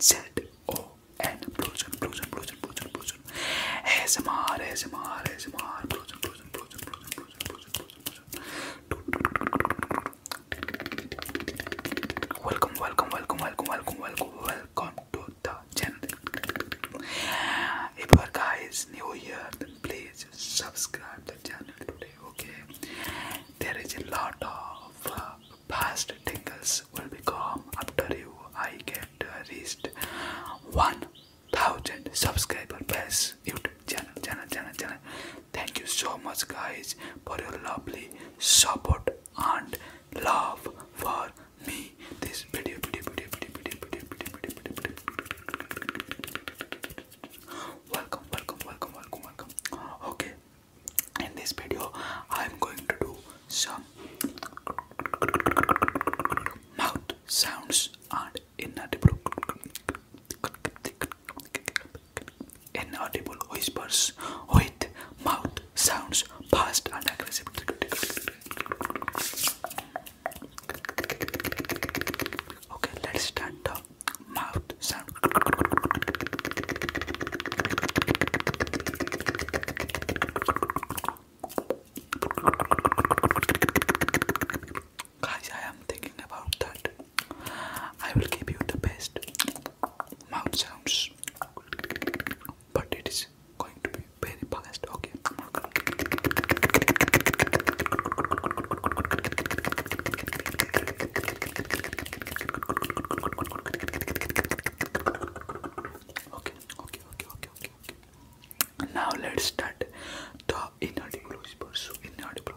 Z-O-N, Blues and Blues and Blues and Blues and Blues and ASMR, ASMR, ASMR, Blues and Blues and Blues and Blues and Blues and Blues and Blues and Blues and Welcome, welcome, welcome, welcome, welcome, welcome, welcome to the channel. If you guys new here, then please subscribe the channel today, okay? There is a lot of uh, past tingles will become after you I get reached 1000 subscriber plus YouTube channel channel channel channel. Thank you so much guys for your lovely support and love for me. This video video video video video video video video video video. Welcome welcome welcome welcome welcome. Okay in this video I'm going to do some mouth sounds and inaudible inaudible whispers with mouth sounds fast and aggressive okay let's start the mouth sound. Guys, I am thinking about that. I will give you the best mouth sounds, but it is going to be very fast. Okay. Okay, okay, okay, okay, okay, okay. Now let's start the inaudible whisper. So inaudible.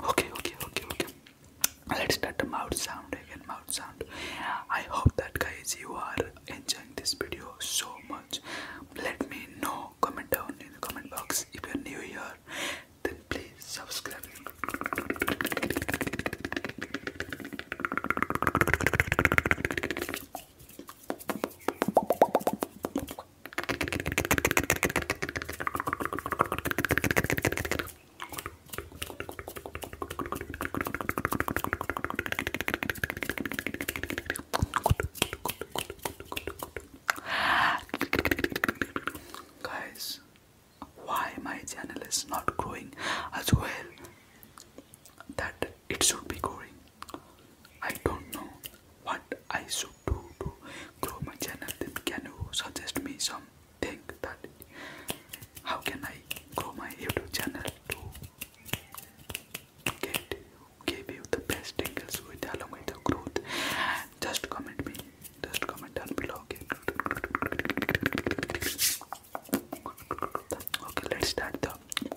Okay, okay, okay, okay. Let's start the mouth sound again. Mouth sound. I hope that guys you are enjoying this video so much. Let me know. Comment down in the comment box. If you're new here, then please subscribe. Guys, why my channel is not growing as well that it should be growing? I don't know what I should do to grow my channel. Then can you suggest me something that how can I grow my YouTube channel to get give you the best tingles with along with growth? Just comment me. Just comment down below. Okay. Okay, let's start the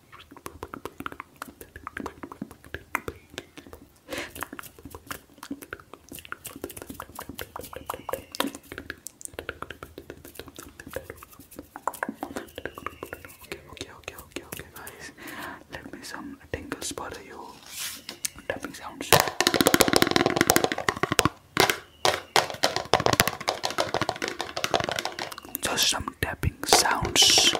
Okay, okay, okay, okay, guys. Let me some tingles for you. Tapping sounds. Just some tapping sounds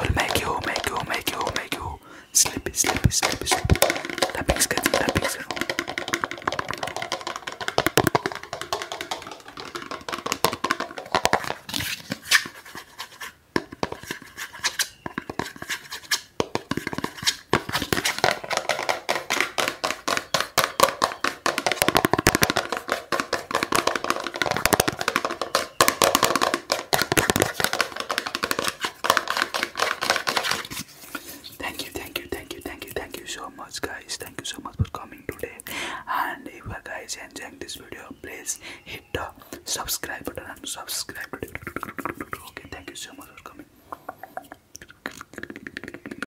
will make you, make you, make you, make you sleepy, sleepy, sleepy, sleepy. Tapping, tapping, tapping. Thank you, thank you, thank you, thank you, thank you so much, guys. Thank you so much for coming today. And if you uh, guys enjoying this video, please hit the subscribe button and subscribe. Okay, thank you so much for coming.